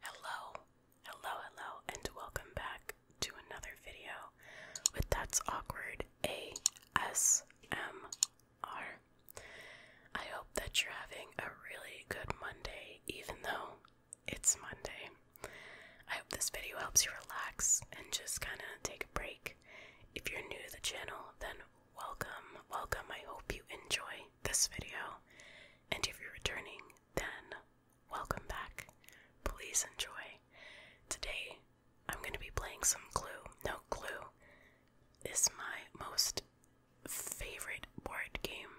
Hello, hello, hello, and welcome back to another video with That's Awkward ASMR. I hope that you're having a really good Monday, even though it's Monday. I hope this video helps you relax and just kind of take a break if you're new to the channel, then welcome, welcome. I hope you enjoy this video. And if you're returning, then welcome back. Please enjoy. Today, I'm going to be playing some Clue. No, Clue is my most favorite board game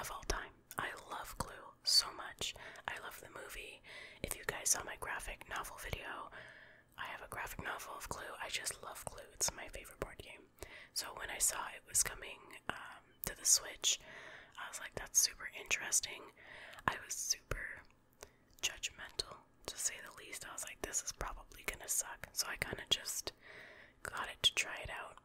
of all time. I love Clue so much. I love the movie. If you guys saw my graphic novel video, I have a graphic novel of Clue. I just love Clue. It's my favorite board game. So when I saw it was coming um, to the Switch, I was like, that's super interesting. I was super judgmental, to say the least. I was like, this is probably gonna suck. So I kind of just got it to try it out.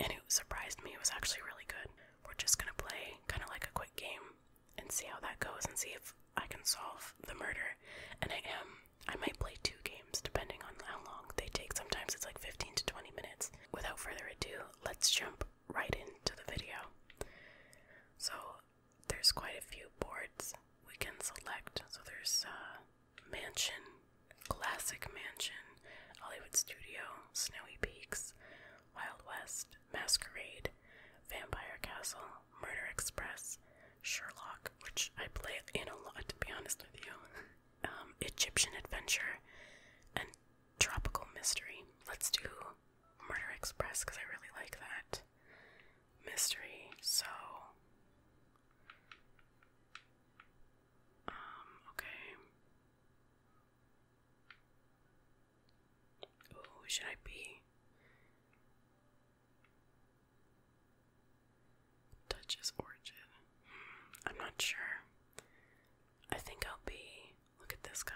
And it surprised me. It was actually really good. We're just gonna play kind of like a quick game and see how that goes and see if I can solve the murder. And I am. I might play two games depending on how long they take. Sometimes it's like 15 to 20 minutes. Without further ado, let's jump right into the video. So, there's quite a few boards we can select. So, there's uh, Mansion, Classic Mansion, Hollywood Studio, Snowy Peaks, Wild West, Masquerade, Vampire Castle, Murder Express, Sherlock, which I play in a lot to be honest with you, um, Egyptian Adventure, and Tropical Mystery. Let's do Murder Express because I really like that mystery. So, um, okay. Ooh, should I be Dutch's origin. Hmm, I'm not sure. I think I'll be. Look at this guy.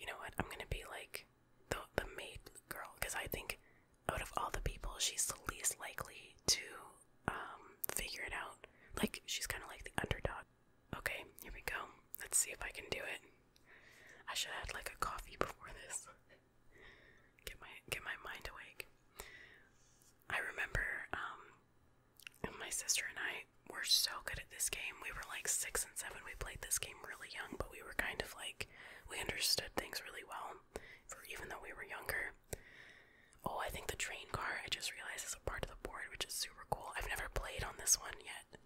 You know what? I'm gonna be like the the maid girl because I think out of all the people, she's the least likely to um, figure it out. Like, she's kind of like the underdog. Okay, here we go. Let's see if I can do it. I should have had like a coffee before this. get my get my mind awake. I remember um, my sister and I were so good at this game. We were like six and seven. We played this game really young, but we were kind of like we understood things really well. For even though we were younger, Oh, I think the train car, I just realized, is a part of the board, which is super cool. I've never played on this one yet.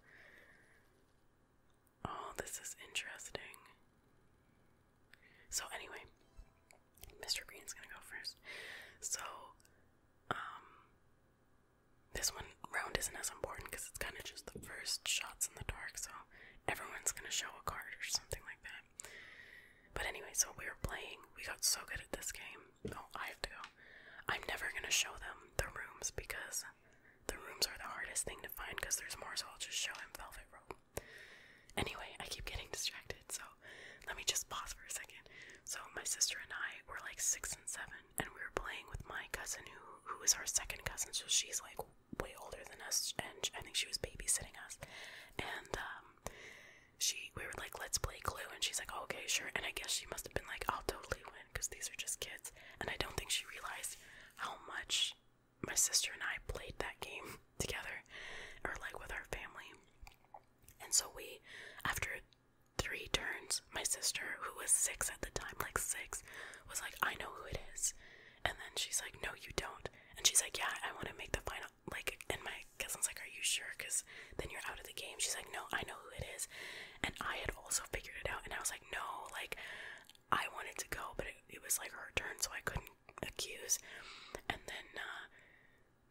Oh, this is interesting. So, anyway, Mr. Green's gonna go first. So, um, this one round isn't as important because it's kind of just the first shots in the dark, so everyone's gonna show a card or something like that. But anyway, so we were playing, we got so good at this game. Oh, I have to go. I'm never gonna show them the rooms because the rooms are the hardest thing to find because there's more, so I'll just show him Velvet Rope. Anyway, I keep getting distracted, so let me just pause for a second. So my sister and I were like six and seven, and we were playing with my cousin who who is our second cousin, so she's like way older than us, and I think she was babysitting us. And um, she we were like let's play clue and she's like oh, okay sure and i guess she must have been like i'll totally win because these are just kids and i don't think she realized how much my sister and i played that game together or like with our family and so we after three turns my sister who was six at the time like six was like i know who it is and then she's like no you don't and she's like yeah i want to make the final like and my cousin's like, Are you sure? Because then you're out of the game. She's like, No, I know who it is. And I had also figured it out and I was like, No, like I wanted to go, but it, was like her turn, so I couldn't accuse. And then uh,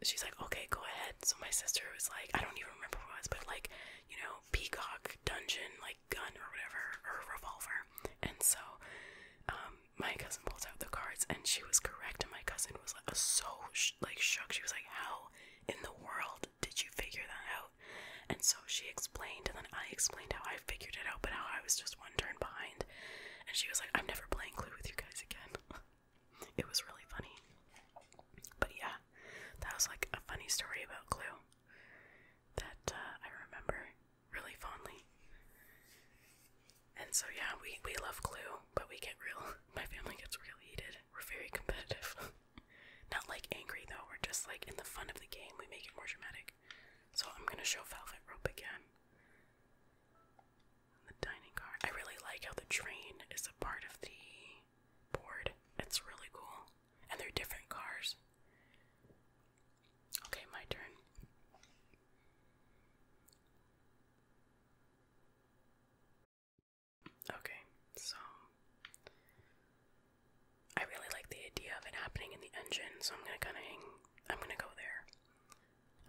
she's like, Okay, go ahead. So my sister was like, I don't even remember what it was, but like, you know, peacock dungeon, like gun or whatever, or revolver. And so um my cousin pulls out the cards and she was correct and my cousin was like so like shook. She was like, "How in the world did you figure that out?" And so she explained, and then I explained how I figured it out, but how I was just one turn behind. And she was like, "I'm never playing Clue with you guys again." it was really funny. But yeah, that was like a funny story about Clue that uh, I remember really fondly. And so yeah, we we love Clue, but we get real. My family gets real heated. We're very competitive. Not like angry though. We're just like in the fun of the game. We make it more dramatic. So I'm gonna show Velvet Rope again. The dining car. I really like how the train is a part of the board. It's really cool. And they're different cars. Okay, my turn. Okay, so I really like the idea of it happening in the engine, so I'm gonna kind of hang. I'm gonna go there.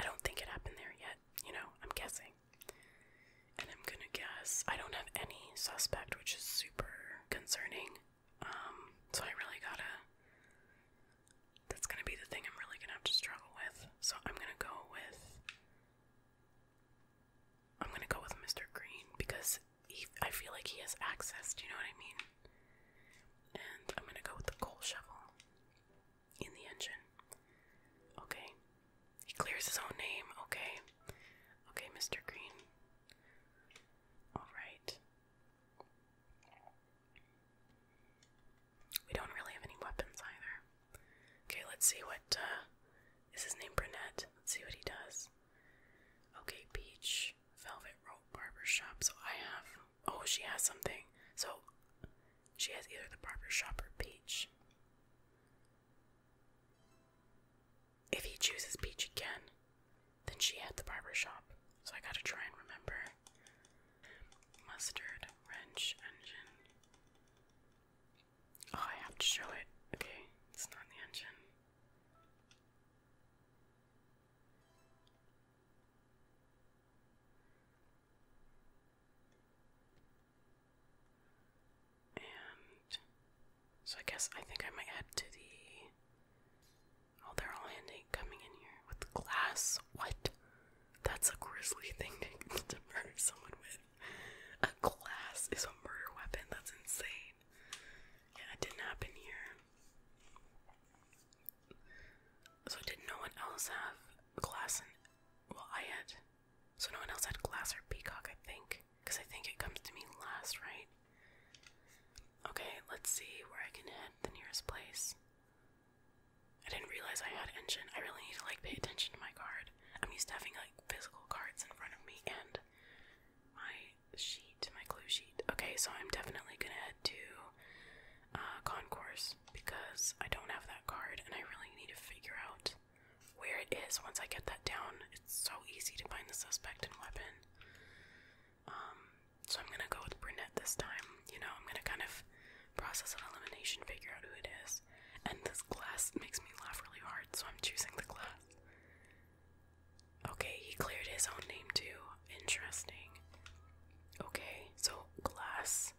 I don't think it happened there yet. You know, I'm guessing, and I'm gonna guess I don't have any suspect, which is super concerning. Um, so I really gotta. That's gonna be the thing I'm really gonna have to struggle with. So I'm gonna go with I'm gonna go with Mr. Green because I feel like he has access. Do you know what I mean? And I'm gonna go with the coal shovel in the engine. Okay. He clears his own name. Okay. Okay, Mr. Green. Alright. We don't really have any weapons either. Okay, let's see what, uh, is his name Brunette? Let's see what he does. Okay, Peach, Velvet Rope Barber Shop. So I have, oh, she has something. So she has either the Barber Shop or Peach. If he chooses Peach again, then she had the barber shop. So I gotta try and remember. Mustard, wrench, engine, Oh, I have to show it. Okay, it's not in the engine. And so I guess I think I might head to the. Oh, they're all handing coming in here with glass. What? That's a grisly thing to, murder someone with. A glass is a murder weapon. That's insane. Yeah, it didn't happen here. So did no one else have glass and well I had so no one else had glass or peacock I think because I think it comes to me last right okay let's see where I can head the nearest place I didn't realize I had engine. I really need to like pay attention to my card. I'm used to having like physical cards in front of me and my sheet, my clue sheet. Okay, so I'm definitely gonna head to uh, Concourse because I don't have that card and I really need to figure out where it is once I get that down. It's so easy to find the suspect and weapon. Um, so I'm gonna go with brunette this time. You know, I'm gonna kind of process of elimination, figure out who it is. And this glass makes me laugh really hard, so I'm choosing the glass. Okay, he cleared his own name too. Interesting. Okay, so glass.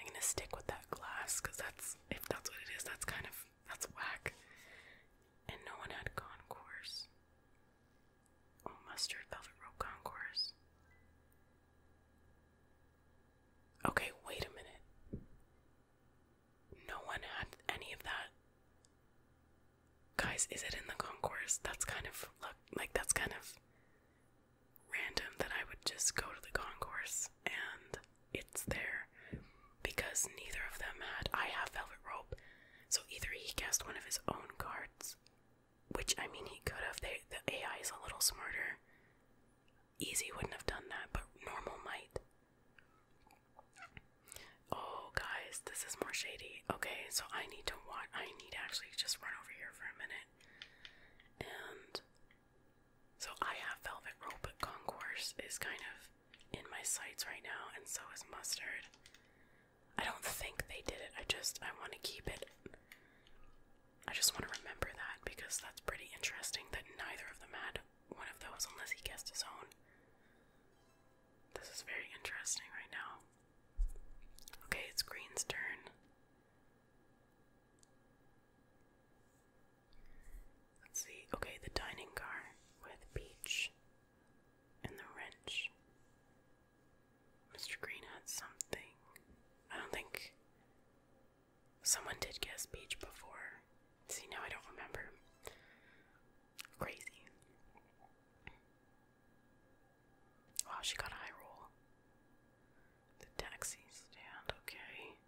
I'm gonna stick with that glass because that's if that's what it is, that's kind of that's whack. And no one had concourse. Oh mustard velvet rope concourse. Okay, wait a minute. No one had any of that. Guys, is it in the concourse? That's kind of like that's kind of random that I would just go to the concourse and it's there because neither of them had. I have Velvet Rope, so either he cast one of his own cards, which I mean he could have. the AI is a little smarter. Easy wouldn't have done that, but normal might. Oh, guys, this is more shady. Okay, so I need to watch. I need to actually just run over here for a minute. And so I have Velvet Rope, but Concourse is kind of in my sights right now, and so is Mustard. I don't think they did it. I just I want to keep it. I just want to remember that because that's pretty interesting that neither of them had one of those unless he guessed his own. This is very interesting right now. Okay, it's Green's turn. Let's see. Okay, the dining car with Peach and the wrench. Mr. Green had something. I don't think Someone did guess beach before. See, now I don't remember. Crazy. Wow, she got a high roll. The taxi stand, okay.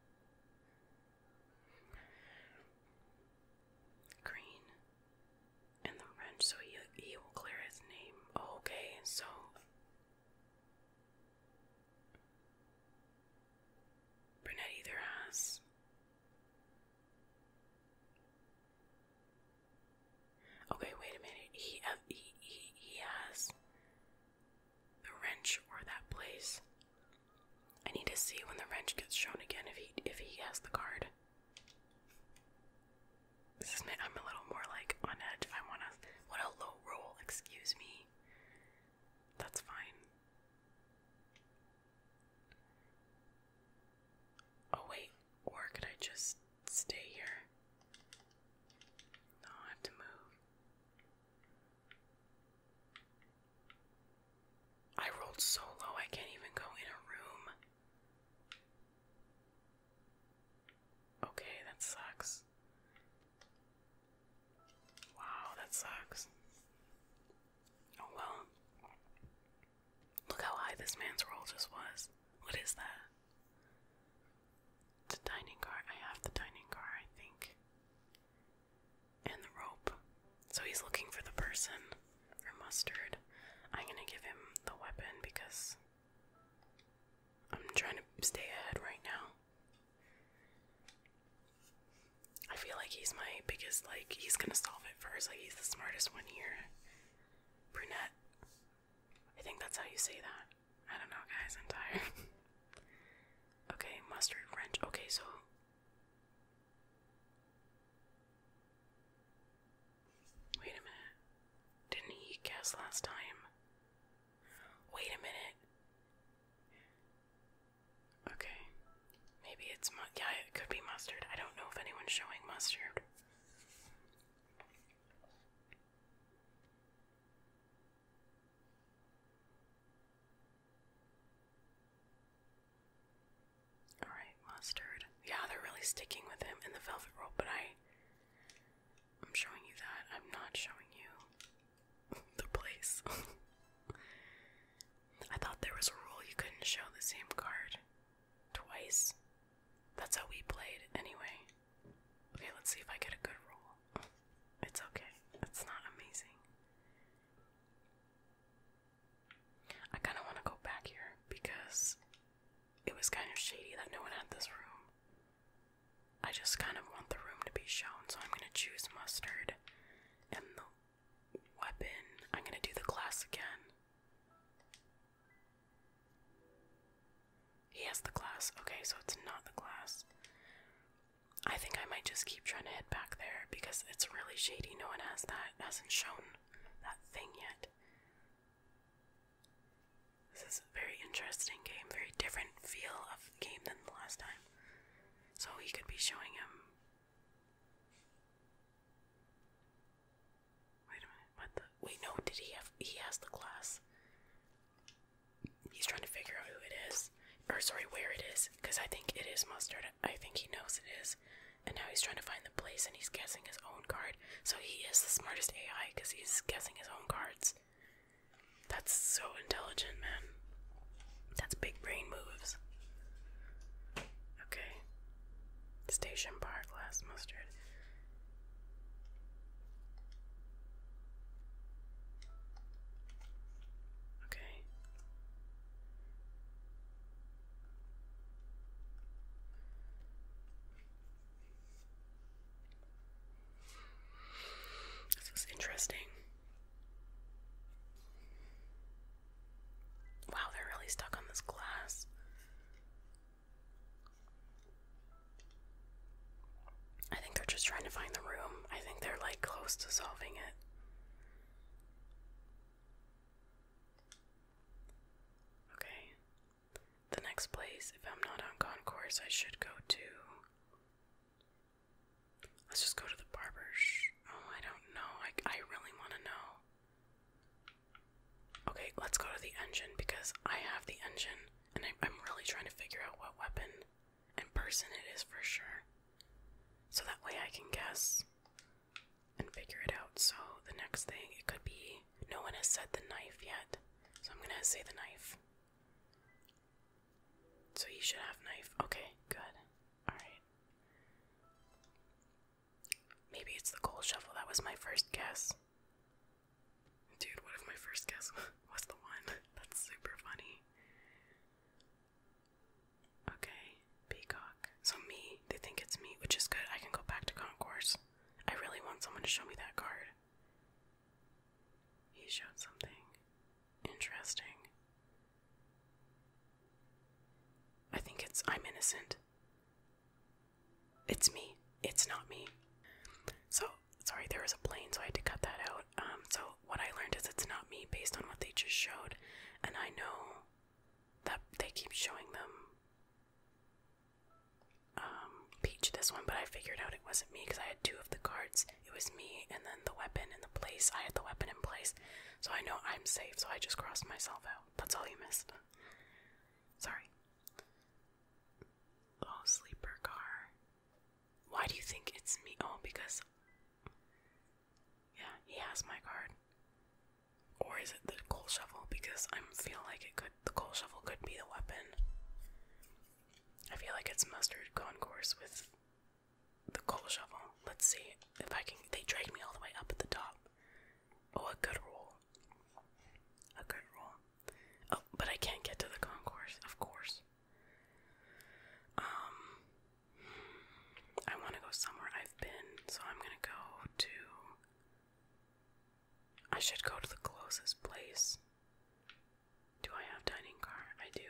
Green. And the wrench, so he, he will clear his name. okay, so Burnett either has. Okay, wait a minute. Uh, he he he has the wrench or that place. I need to see when the wrench gets shown again if he if he has the card. This is I'm a little more like on edge. I wanna what a low roll, excuse me. That's fine. Oh, wait, or could I just stay here? No, I have to move. I rolled so low I can't even go in a room. Okay, that sucks. Wow, that sucks. Oh well. Look how high this man's roll just was. What is that? The dining car. I have the dining car, I think. And the rope. So he's looking for the person. Or mustard. I'm gonna give him the weapon because I'm trying to stay ahead right now. I feel like he's my biggest, like, he's gonna solve it first. Like, he's the smartest one here. Brunette. I think that's how you say that. I don't know, guys. I'm tired. okay, mustard wrench. Okay, so. Wait a minute. Didn't he guess last time? Wait a minute. Okay. Maybe it's mu yeah, it could be mustard. I don't know if anyone's showing mustard. All right, mustard. Yeah, they're really sticking with him in the velvet rope, but I I'm showing you that. I'm not showing you the place. I thought there was a rule you couldn't show the same card twice. That's how we played, anyway. Okay, let's see if I get a good roll. It's okay, it's not amazing. I kind of want to go back here because it was kind of shady that no one had this room. I just kind of want the room to be shown, so I'm gonna choose mustard and the weapon. I'm gonna do the glass again. He has the glass. Okay, so it's not the glass. I think I might just keep trying to head back there because it's really shady. No one has that, hasn't shown that thing yet. This is a very interesting game, very different feel of game than the last time. So he could be showing him. Wait a minute, what the? Wait, no, did he have. He has the glass. He's trying to figure out who it is. Or, sorry, where it is. Because I think it is Mustard. I think he knows it is. And now he's trying to find the place and he's guessing his own card. So he is the smartest AI because he's guessing his own cards that's so intelligent, man. That's big brain moves. Okay. Station bar glass mustard. Okay. This is interesting. Wow, they're really stuck on this glass. I think they're just trying to find the room. I think they're like close to solving it. Okay. The next place, if I'm not on concourse, I should go to Let's just go to the barber. Oh, I don't know. I, I really want to know. Okay, let's go to the engine because I have the engine and I, I'm really trying to figure out what weapon and person it is for sure. So that way I can guess and figure it out. So the next thing, it could be no one has said the knife yet. So I'm going to say the knife. So you should have knife. Okay, good. Alright. Maybe it's the coal shovel. That was my first guess. Dude, what if my first guess was the one? That's super funny. Okay, peacock. So me, they think it's me, which is good. I can go back to concourse. I really want someone to show me that card. He showed something interesting. I think it's I'm innocent. It's me. It's not me. So, sorry, there was a plane, so I had to cut that out. Um, so, what I learned is it's not me based on what they just showed, and I know that they keep showing them um, Peach this one, but I figured out it wasn't me because I had two of the cards it was me and then the weapon in the place. I had the weapon in place, so I know I'm safe, so I just crossed myself out. That's all you missed. Sorry. Oh, sleeper car. Why do you think it's me? Oh, because. Yeah, he has my card. Or is it the coal shovel? Because I feel like it could. The coal shovel could be the weapon. I feel like it's mustard concourse with the coal shovel. Let's see if I can. They dragged me all the way up at the top. Oh, a good roll. A good roll. Oh, but I can't get to the concourse, of course. Um, I want to go somewhere I've been, so I'm gonna go to. I should go to the closest place. Do I have dining car? I do.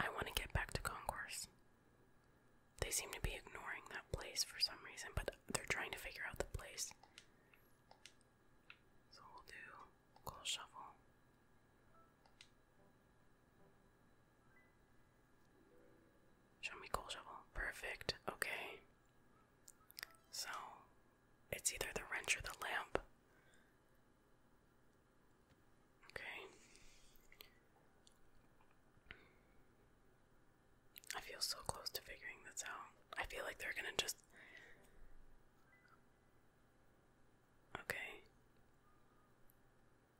I want to get back to Concourse. They seem to be ignoring that place for some reason, but they're trying to figure out the place. So we'll do coal shovel. Show me coal shovel. Perfect. Okay. So it's either the wrench or the lamp. Okay. I feel so close to figuring this out. I feel like they're gonna just. Okay.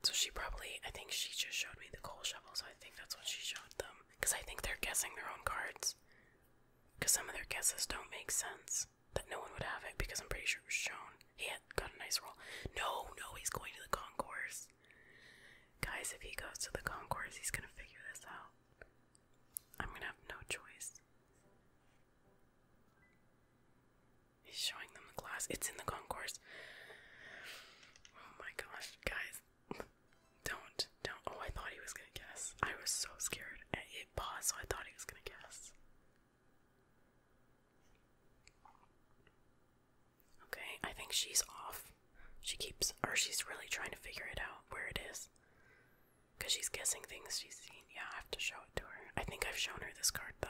So she probably. I think she just showed me the coal shovels. I think that's what she showed them. Because I think they're guessing their own cards. Because some of their guesses don't make sense that no one would have it because I'm pretty sure it was shown. He had got a nice role. No, no, he's going to the concourse. Guys, if he goes to the concourse, he's gonna figure this out. I'm gonna have no choice. He's showing them the glass. It's in the concourse. Oh my gosh, guys. Don't, don't. Oh, I thought he was gonna guess. I was so scared. It paused, so I thought he was gonna guess. Okay, I think she's off. She keeps, or she's really trying to figure it out where it is. Because she's guessing things she's seen. Yeah, I have to show it to her. I think I've shown her this card though.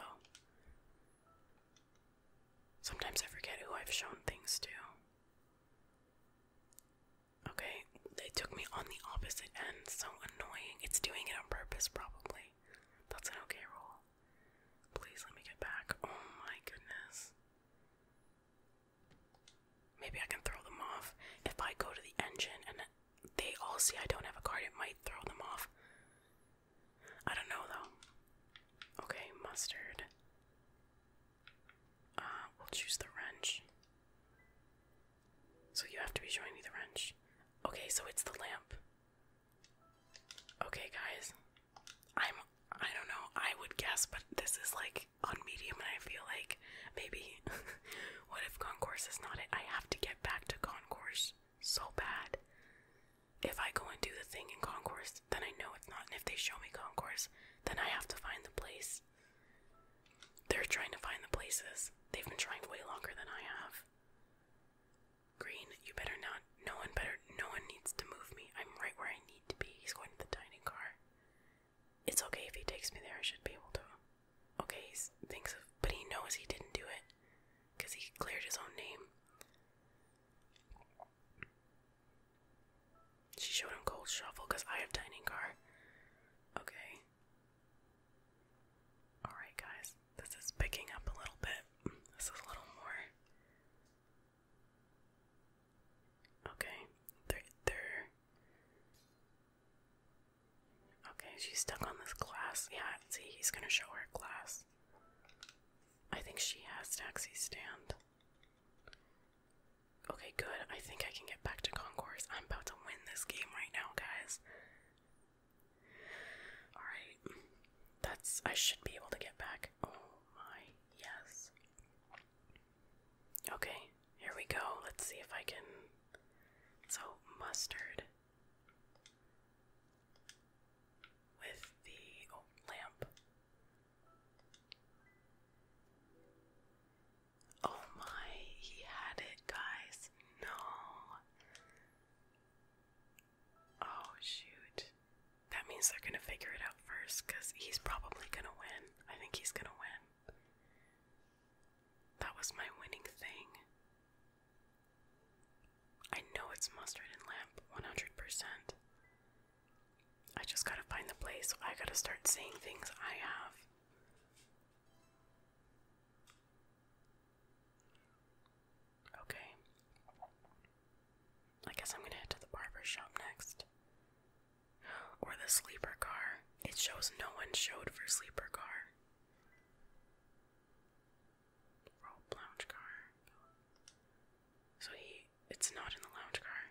Sometimes I forget who I've shown things to. Okay, they took me on the opposite end. So annoying. It's doing it on purpose, probably. That's an okay roll. Please let me get back. Oh my goodness. Maybe I can throw them off. If I go to the engine and they all see I don't have a card, it might throw them off. I don't know though. Okay, mustard. Uh, we'll choose the wrench. So you have to be showing me the wrench. Okay, so it's the lamp. Okay, guys. I'm I don't know. I would guess, but this is like on medium and I feel like maybe what if concourse is not it? I have to get back to concourse so bad. If I go and do the thing in concourse, then I know it's not. And if they show me concourse, then I have to find the place. They're trying to find the places. They've been trying way longer than I have. Green, you better not. No one better. No one needs to move me. I'm right where I need to be. He's going to the dining car. It's okay if he takes me there. I should be able to. Okay, he thinks of. But he knows he didn't do it. Because he cleared his own name. She showed him cold shuffle because I have dining car. Okay. Alright, guys, this is picking up a little bit. This is a little more. Okay, they're. they're... Okay, she's stuck on this glass. Yeah, I see, he's gonna show her glass. I think she has taxi stand. Okay, good. I think I can get back to concourse. I'm about to win this game right now, guys. Alright. That's. I should be able to get back. Oh my, yes. Okay, here we go. Let's see if I can. So, mustard. With the. Oh, lamp. Oh my, he had it, guys. No. Oh, shoot. That means they're gonna figure it out first because he's probably gonna win. I think he's gonna win. That was my winning thing. I know it's mustard and lamp 100%. I just gotta find the place. I gotta start seeing things I have. Okay. I guess I'm gonna head to the barber shop next. Or the sleeper car. It shows no one showed for sleeper car. Roll lounge car. So he it's not in the lounge car.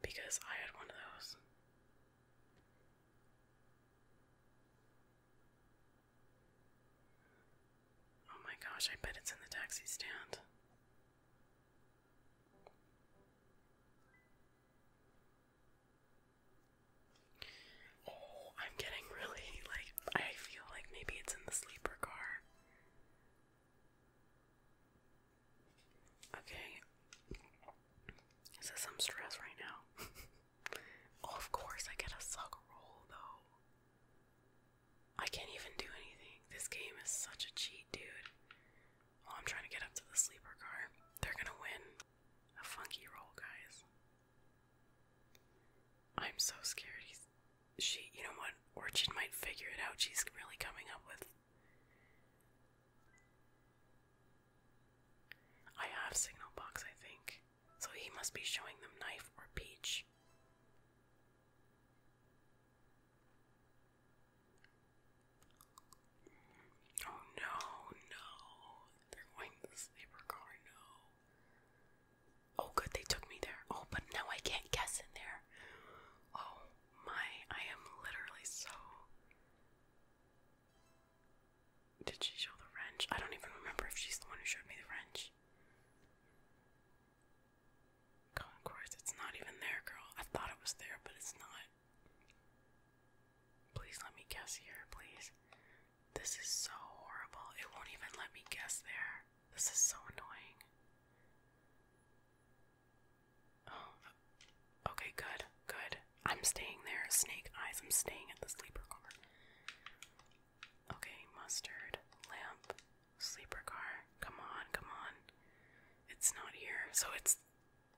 Because I had one of those. Oh my gosh, I bet it's in the taxi stand. Oh, I'm getting really like I feel like maybe it's in the sleeper car. Okay. Is this some stress right now? oh, of course, I get a suck roll though. I can't even do anything. This game is such a cheat, dude. Oh, I'm trying to get up to the sleeper car. They're gonna win. A funky roll, guys. I'm so scared. He's, she, you know what? Orchid might figure it out. She's really coming up with. I have signal box, I think. So he must be showing them knife or peach. Oh no, no. They're going to the sleeper car, no. Oh good, they took me there. Oh, but now I can't guess in there. Oh my, I am literally so did she show the wrench? I don't even remember if she's the one who showed me the wrench. Of it's not even there, girl. I thought it was there, but it's not. Please let me guess here, please. This is so horrible. It won't even let me guess there. This is so annoying. Oh. Okay, good, good. I'm staying there. Snake eyes, I'm staying at the sleeper car. Okay, mustard, lamp, sleeper car. Come on, come on. It's not here. So it's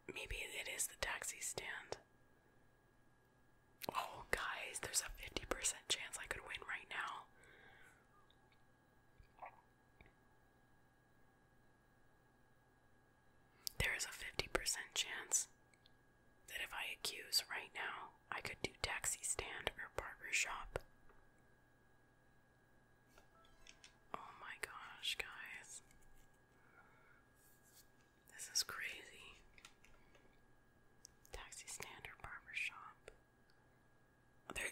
maybe it is the taxi stand. Oh, guys, there's a 50% chance I could win right now. There is a 50% chance that if I accuse right now, I could do taxi stand or barber shop. Oh my gosh, guys. This is crazy. Taxi stand or barber shop.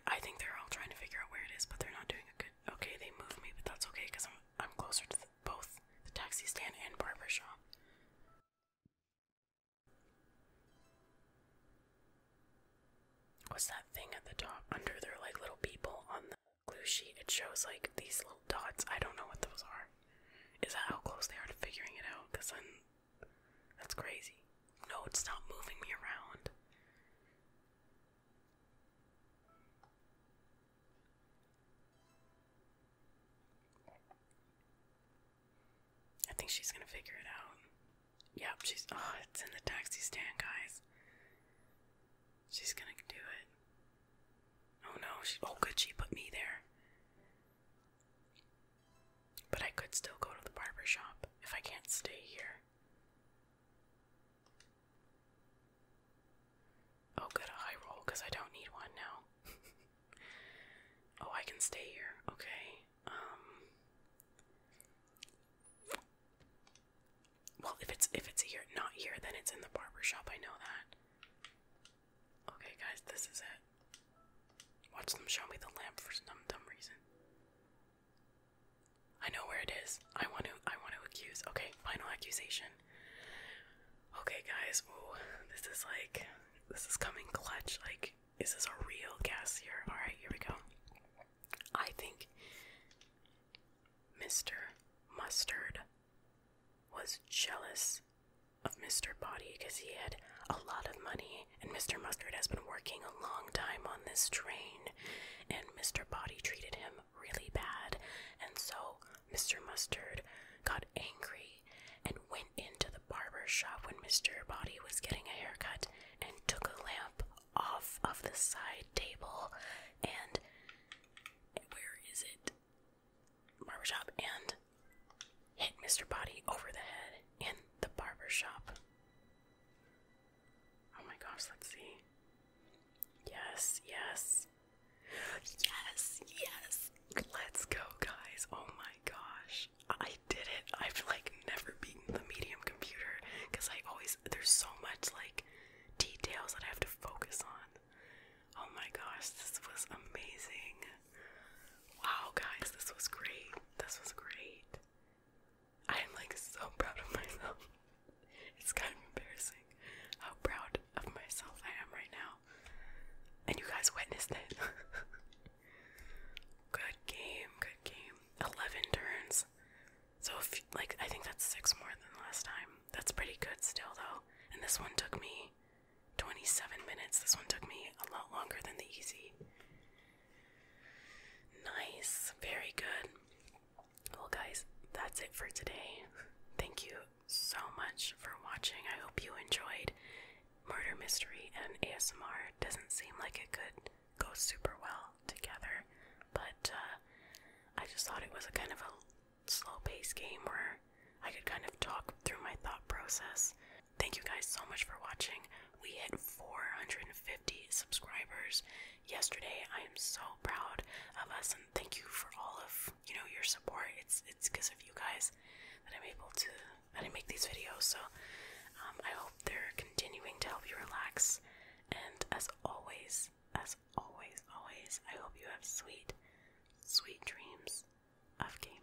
I think they're all trying to figure out where it is, but they're not doing a good. Okay, they moved me, but that's okay because I'm I'm closer to both the taxi stand and barber shop. What's that thing at the top under their like little people on the glue sheet? It shows like these little dots. I don't know what those are. Is that how close they are to figuring it out? Because then that's crazy. No, it's not moving me around. I think she's gonna figure it out. Yep, she's. Oh, it's in the taxi stand, guys. She's gonna do it. Oh no, Oh, good, she put me there. But I could still go to the barber shop if I can't stay here. Oh, good, a roll, because I don't need one now. oh, I can stay here. Okay. Um. Well, if it's if it's here, not here, then it's in the barber shop. I know that. Okay, guys, this is it. Watch them show me the lamp for some dumb reason. I know where it is. I want to. I want to accuse. Okay, final accusation. Okay, guys, ooh, this is like, this is coming clutch. Like, is this a real guess here? Alright, here we go. I think Mr. Mustard was jealous of Mr. Body because he had a lot of money, and Mr. Mustard has been working a long time on this train, and Mr. Body treated him really bad, and so Mr. Mustard got angry and went into the barber shop when Mr. Body was getting a haircut and took a lamp off of the side table and where is it? Barber shop. and hit Mr. Body over the head in the barbershop. Oh my gosh, let's see. Yes, yes. Yes, yes. Let's go, guys. Oh my gosh. I did it. I've like never beaten the medium computer because I always, there's so much like details that I have to focus on. Oh my gosh, this was amazing. Wow, guys, this was great. This was great. I am like so proud of myself it's kind of embarrassing how proud of myself I am right now. And you guys witnessed it. good game, good game. 11 turns. So, if, like, I think that's six more than last time. That's pretty good still, though. And this one took me 27 minutes. This one took me a lot longer than the easy. Nice, very good. Well, guys, that's it for today. Thank you so much for watching. I hope you enjoyed murder mystery and ASMR. doesn't seem like it could go super well together, but uh, I just thought it was a kind of a slow-paced game where I could kind of talk through my thought process. Thank you guys so much for watching. We hit 450 subscribers yesterday. I am so proud of us, and thank you for all of you know your support. It's it's because of you guys that I'm able to that I make these videos. So um, I hope they're continuing to help you relax. And as always, as always, always, I hope you have sweet, sweet dreams of gaming.